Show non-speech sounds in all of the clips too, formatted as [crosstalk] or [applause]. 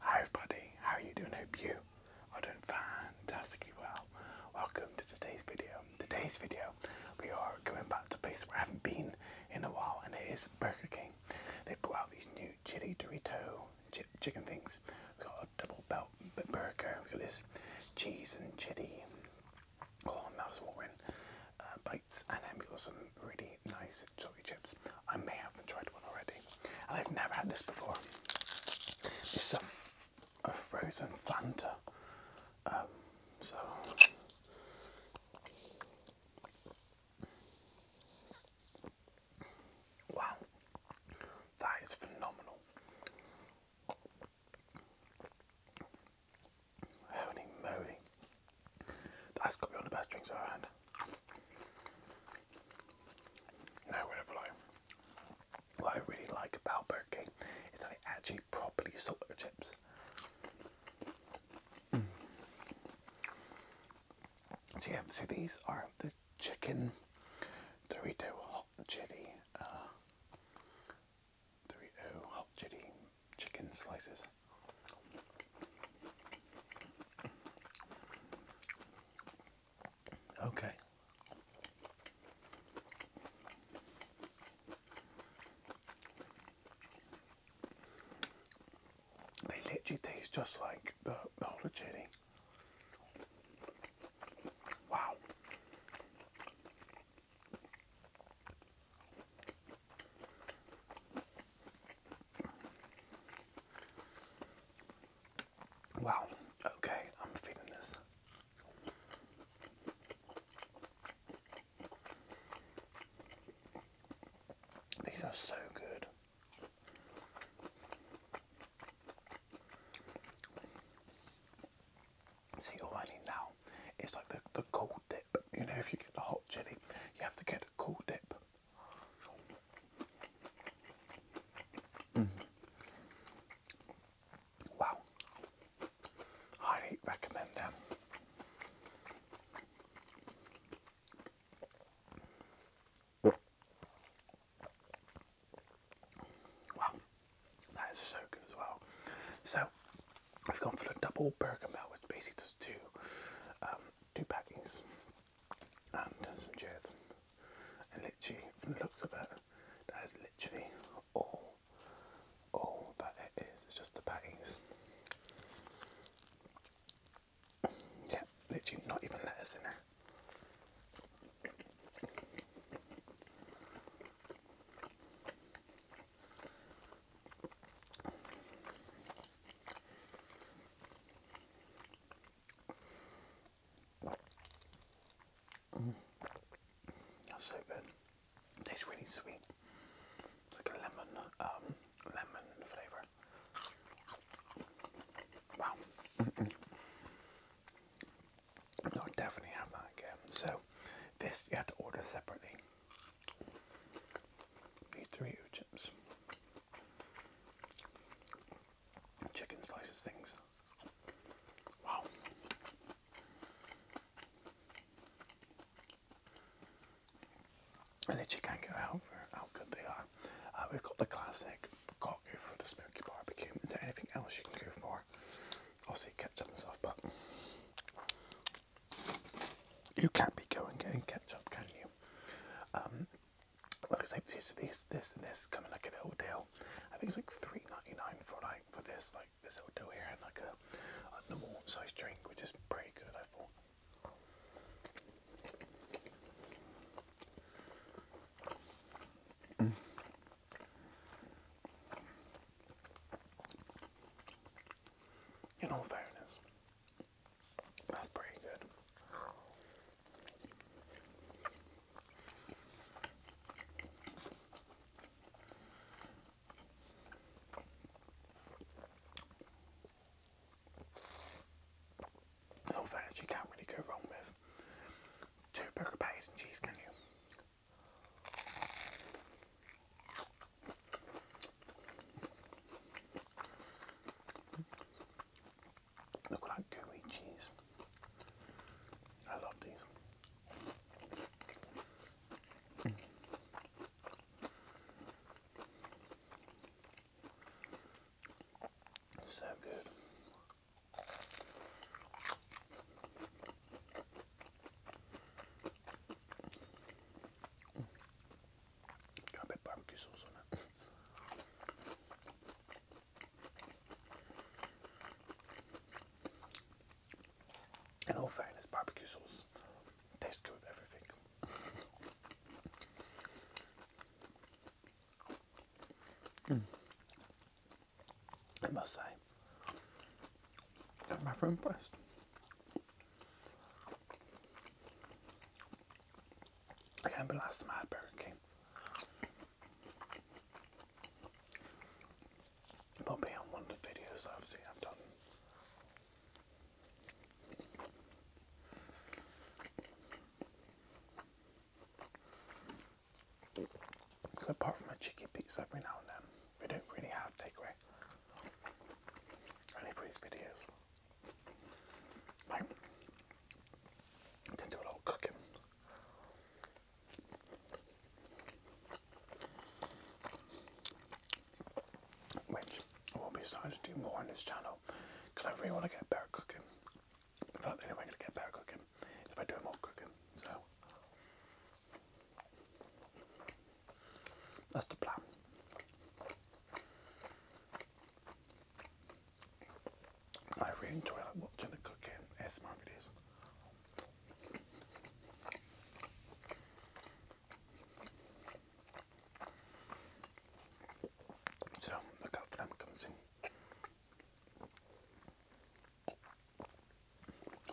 Hi everybody, how are you doing? I hope you are doing fantastically well. Welcome to today's video. Today's video, we are going back to a place where I haven't been in a while and it is Burger King. They've brought out these new chili Dorito ch chicken things. We've got a double belt burger. We've got this cheese and chili. Oh, that was watering. Uh, bites and then we got some really nice chips. I may have tried one already, and I've never had this before. This is a frozen Fanta. Um, wow, that is phenomenal. Holy moly, that's got to be one of the best drinks i no, whatever what I really like about Burger King is that it actually properly salt the chips. Mm. So yeah, so these are the chicken Dorito hot chili, uh, Dorito hot chili chicken slices. Okay. They literally taste just like the, the jelly. Wow. Wow, okay, I'm feeling this. These are so good. See, all I need now is like the, the cold dip. You know, if you get the hot chili, you have to get a cool dip Mm-hmm. Wow. Highly recommend them. Wow, that is so good as well. So, I've gone for the double burger melt, which basically just two, um, two patties, and some jazz. And literally, from the looks of it, that is literally all, all that it is. It's just the patties. Yeah, literally not even lettuce in there. Mm. That's so good. Tastes really sweet. like a lemon, um, lemon flavour. Wow. i definitely have that again. So, this you have to order separately. These three U chicken slices things. Wow. And that you can't get out for how good they are. Uh, we've got the classic cocktail for the smoky barbecue. Is there anything else you can go for? Obviously ketchup and stuff, but you can't be going getting ketchup, can you? Um, like I say, this, this, this, and this coming like an little deal. I think it's like three ninety nine for like for this, like this little deal here, and like a, normal sized drink, which is pretty good, I thought. Mm. In all fairness, that's pretty good. In all you can't really go wrong with two burger patties and cheese, can you? Look like that gooey cheese. I love these. So good. Got a barbecue sauce on it. all fairness, barbecue sauce tastes good with everything. [laughs] I must say, my friend, rather I can't believe last time I had Burger King. But beyond one of the videos I've seen I've done. Apart from a cheeky pizza every now and then, we don't really have takeaway. Only for these videos. Like, can do a little cooking. Which I will be starting to do more on this channel because I really want to get better cooking. In fact, the only I'm going to get better cooking is by doing more cooking. So, that's the plan. I really enjoy like, watching the cooking, ASMR videos. So look out for them coming soon.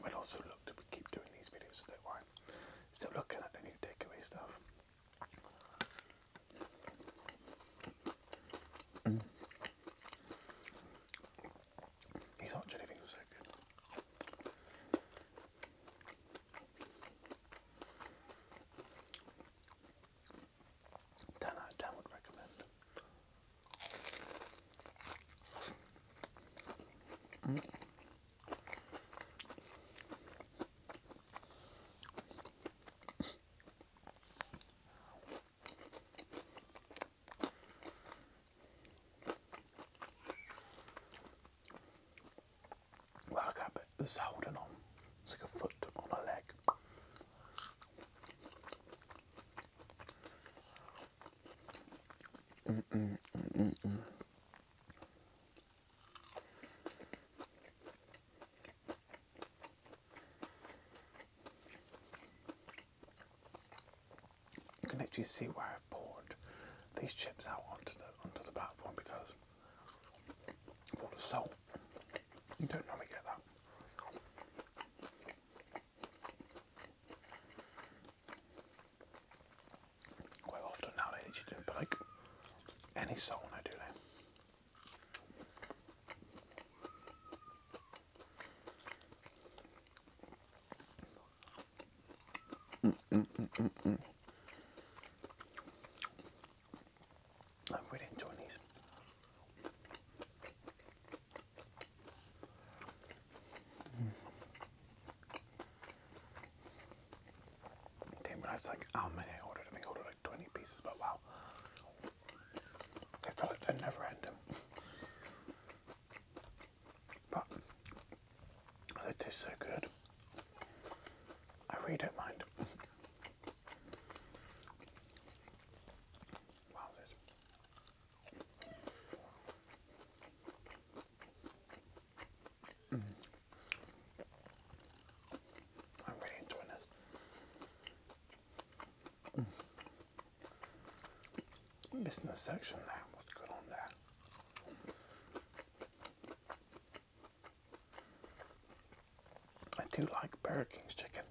We'll also look to keep doing these videos, so don't worry. Still looking at the new takeaway stuff. Mm. He's not hot jelly things are would recommend. Well, I got this holding on. It's like a foot on a leg. Mm -mm, mm you can actually see where I've poured these chips out onto the onto the platform because of all the salt. You don't normally get that. Quite often now they do put like any salt on it, do they? Mm mm, mm, mm, mm, I'm really enjoying these. Mm. Didn't realize like how oh, many I ordered. I think I ordered like 20 pieces, but wow. They felt like they're never ending. But they taste so good. I really don't mind. Wow, this. Mm. I'm really enjoying this. Mm. section there. What's going on there? I do like Burger King's chicken.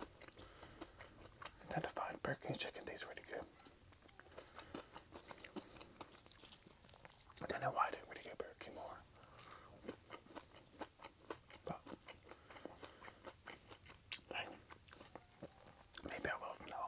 I tend to find Burger King's chicken tastes really good. I don't know why I don't really go Burger King more. But maybe I will now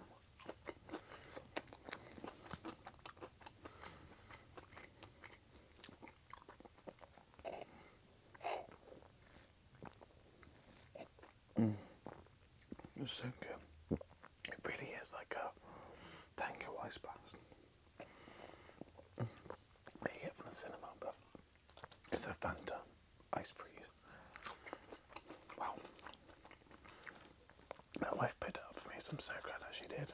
It's so good. It really is like a tango ice blast. Make it from the cinema, but it's a phantom ice freeze. Wow. My wife picked it up for me, so I'm so glad that she did.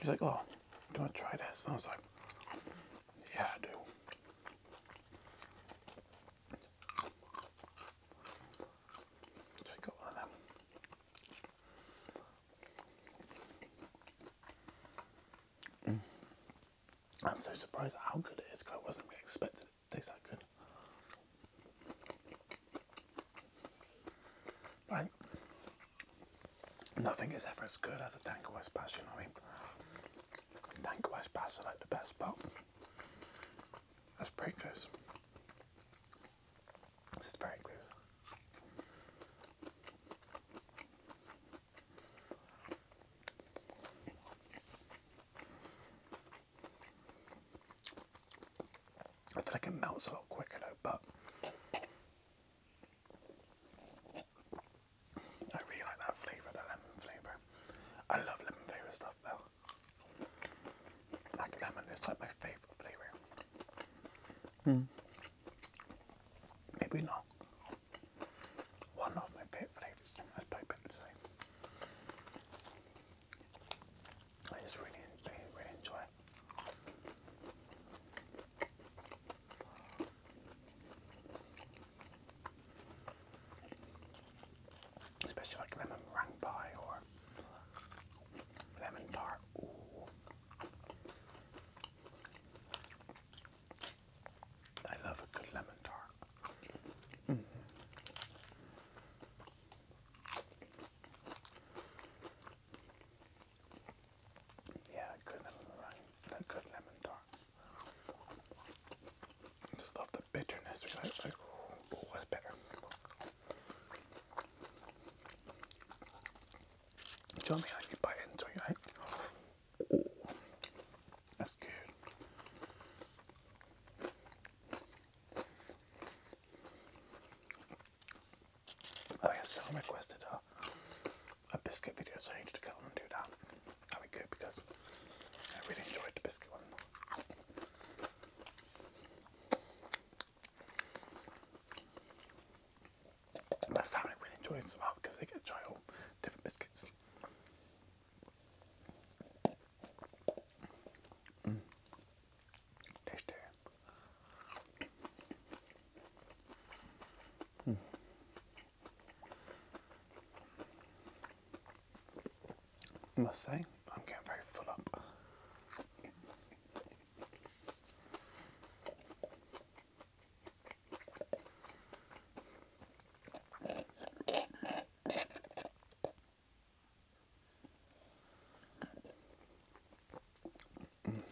She's like, oh, do you want to try this? And I was like, yeah, I do. So I got I'm so surprised how good it is because I wasn't really expecting it tastes that good. Right? Nothing is ever as good as a Tango Espacio, you know what I mean? Tango Espacio like the best, but that's pretty close. This is very close. I feel like it melts a lot quicker though, but I really like that flavour, the lemon flavour. I love lemon flavour stuff though. Like lemon it's like my favourite flavour. Mm. Maybe not. One of my favourite flavours, that's probably better say. I just really, really, enjoy it. Especially like lemon meringue pie or lemon tart. I love a good lemon tart. Mm-hmm. Yeah, a good lemon a good lemon tart. Just love the bitterness. what's oh, oh, better? Do you know what I you bite into it, that's good. Oh yeah, someone requested a, biscuit video, so I need to go and do that. That'd be good because I really enjoyed the biscuit one my family really enjoys them out because they get to try all different biscuits. Mm. Tasty. I mm. must say, I'm getting very full up. Mm,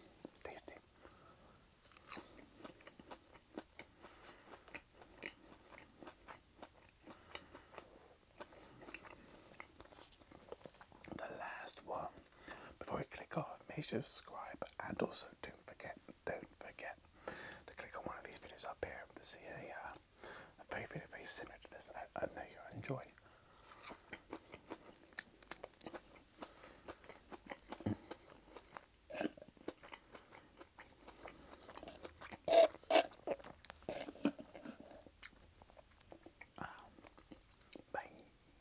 tasty. The last one before you click off, make sure to subscribe and also don't forget, don't forget to click on one of these videos up here to see a, uh, very very similar to this I, know you'll enjoy. Um,